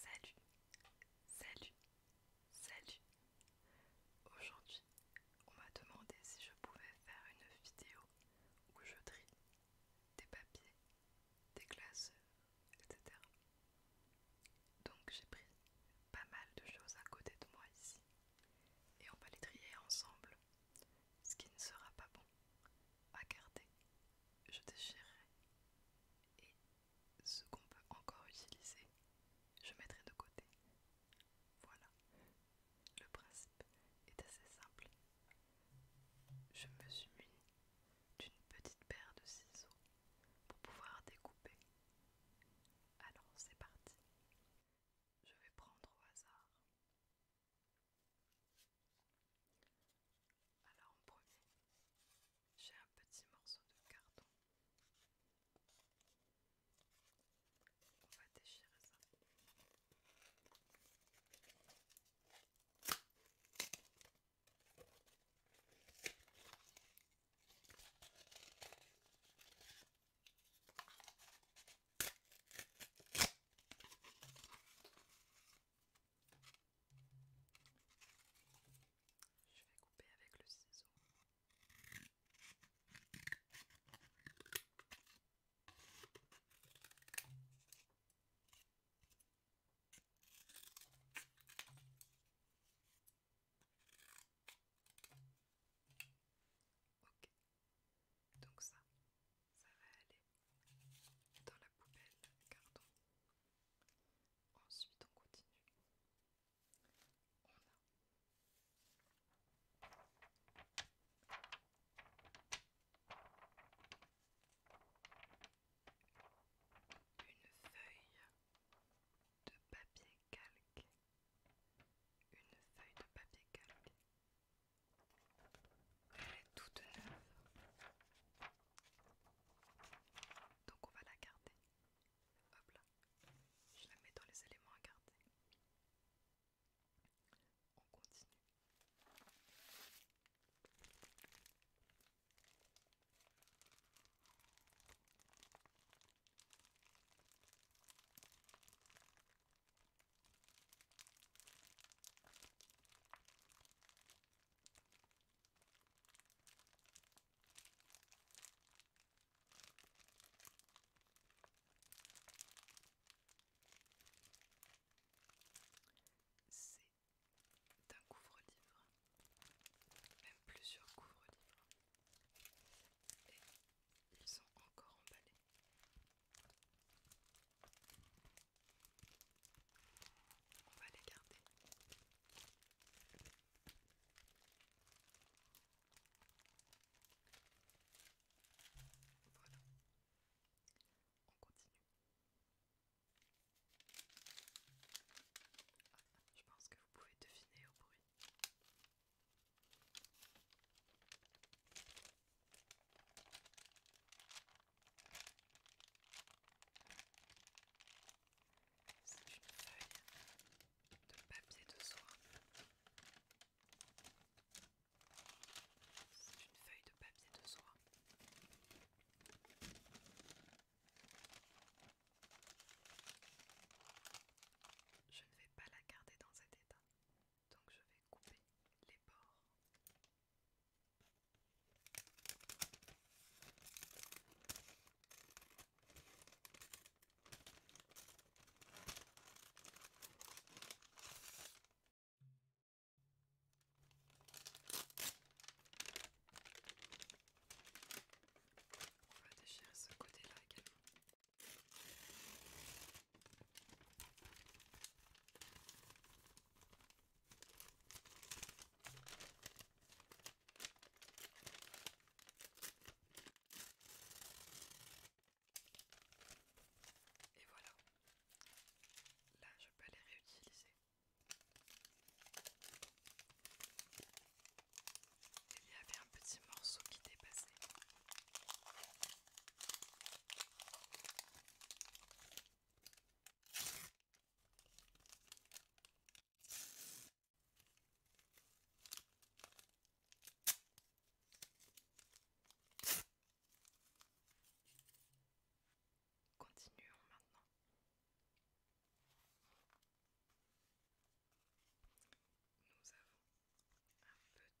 Salut, salut, salut. Aujourd'hui, on m'a demandé si je pouvais faire une vidéo où je trie des papiers, des classeurs, etc. Donc j'ai pris pas mal de choses à côté de moi ici et on va les trier ensemble. Ce qui ne sera pas bon à garder, je déchirerai. Et ce qu'on peut encore utiliser, je mettrai de côté. Voilà. Le principe est assez simple. Je me suis munie d'une petite paire de ciseaux pour pouvoir découper. Alors c'est parti. Je vais prendre au hasard. Alors en premier, j'ai un petit morceau de carton. On va déchirer ça. Je vais couper avec le ciseau. Ok, donc ça, ça va aller dans la poubelle gardons, Ensuite on continue. On a une feuille de papier calque une feuille de papier calque. Elle est toute neuve. Donc on va la garder. Hop là. Je la mets dans les éléments à garder. On continue. C'est un couvre-livre, même plusieurs couvre-livres ils sont encore emballés. On va les garder. Voilà. On continue. Ah, je pense que vous pouvez deviner au bruit. C'est une feuille de papier de soie. C'est une feuille de papier de soie. Je ne vais pas la garder dans émission. Donc je vais couper les bords. On va déchirer ce côté-là également. Et voilà, là je peux les réutiliser il y avait un petit morceau qui dépassait. Continuons maintenant. Nous avons un petit carnet.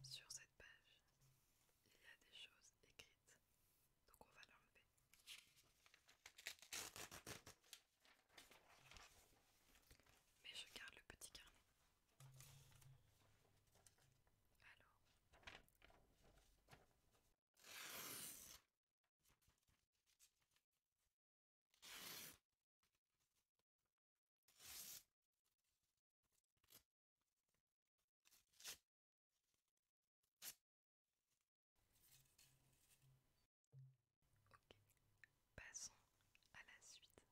Sur cette page, il y a des choses écrites, donc on va lever Mais je garde le petit carnet. Alors. Ok, passons à la suite.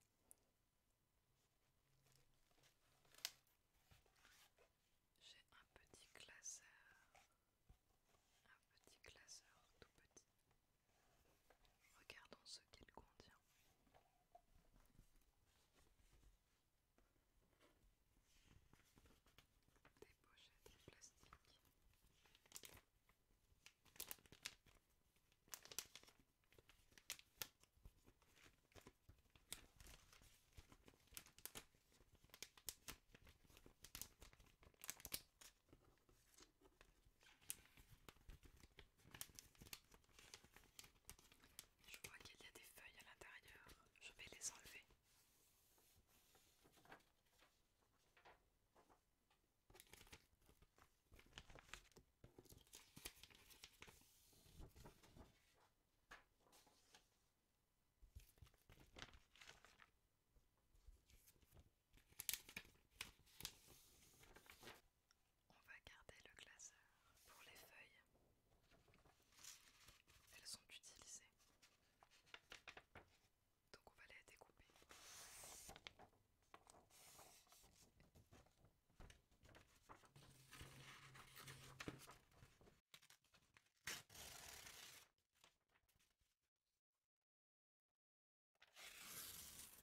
J'ai un petit classeur, un petit classeur tout petit. Regardons ce qu'il contient. Des pochettes plastique. Je vois qu'il y a des feuilles à l'intérieur. Je vais les enlever. On va garder le glaceur pour les feuilles. Elles sont utilisées. Donc on va les découper. Je vais les découper au ciseau maintenant.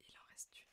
Il en reste une.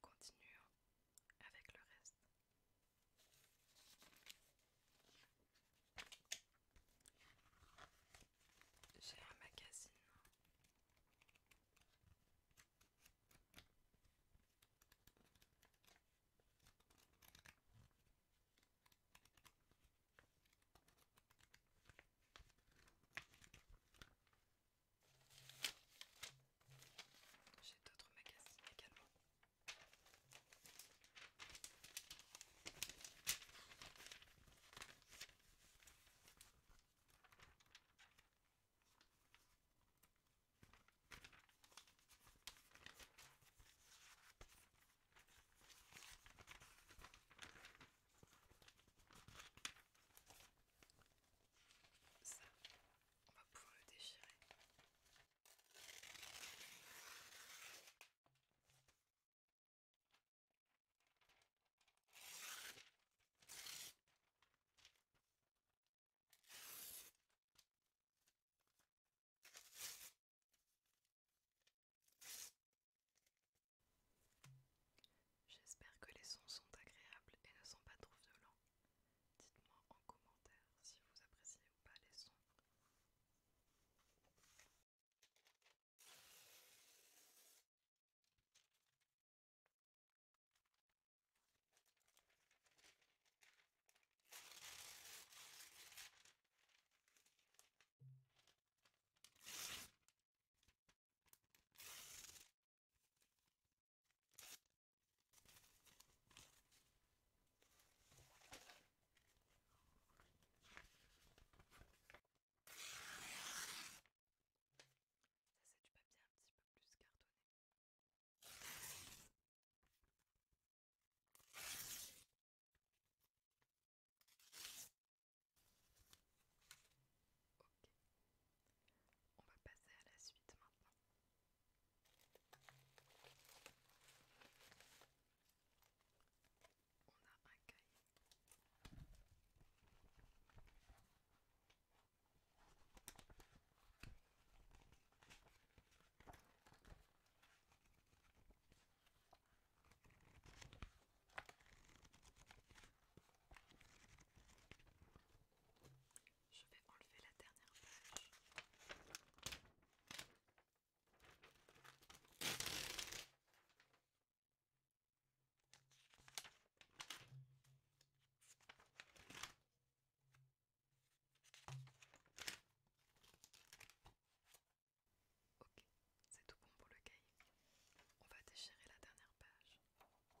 Continue avec le reste. J'ai un magazine. J'ai d'autres magazines également. Ça, on va pouvoir le déchirer. J'espère que les sons sont agréables et ne sont pas trop violents. Dites-moi en commentaire si vous appréciez ou pas les sons. Ça manifestations de radio un petit peu plus cartonné on va passer à la suite maintenant. On a un cahier. Je vais enlever la dernière page. Ok, c'est tout bon pour le cahier. On va déchirer la dernière page. On continue.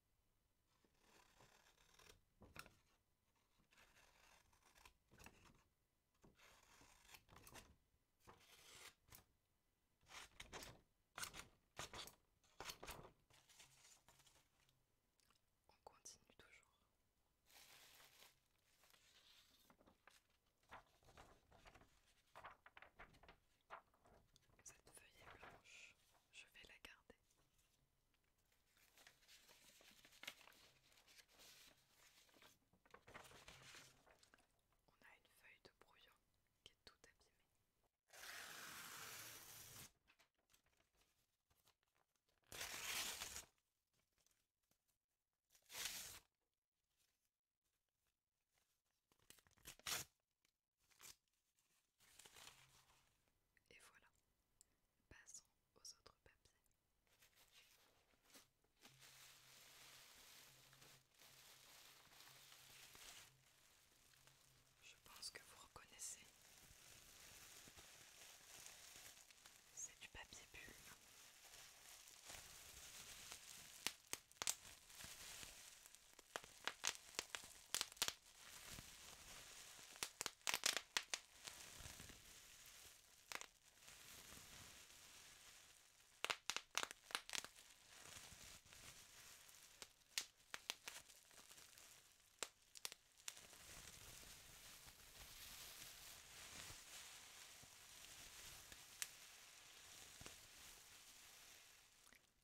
On continue toujours. Cette feuille blanche je vais la garder. On a une feuille de brouillon qui est tout abîmée. Et voilà, passons aux autres papiers. Je pense que vous reconnaissez. C'est du papier bulle.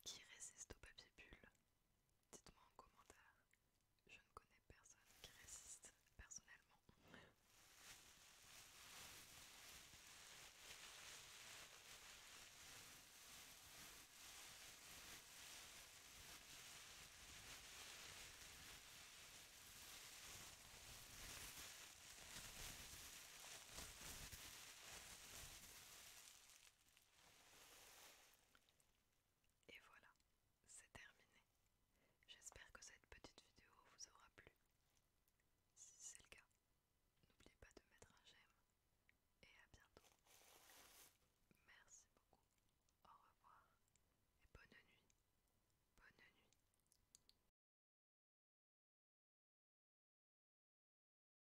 Qui résiste au papier bulle Dites-moi en commentaire. Je ne connais personne qui résiste personnellement. Et voilà, c'est terminé. J'espère que cette petite vidéo vous aura plu. Si c'est le cas, n'oubliez pas de mettre un j'aime et à bientôt. Merci beaucoup. Au revoir et bonne nuit. Bonne nuit.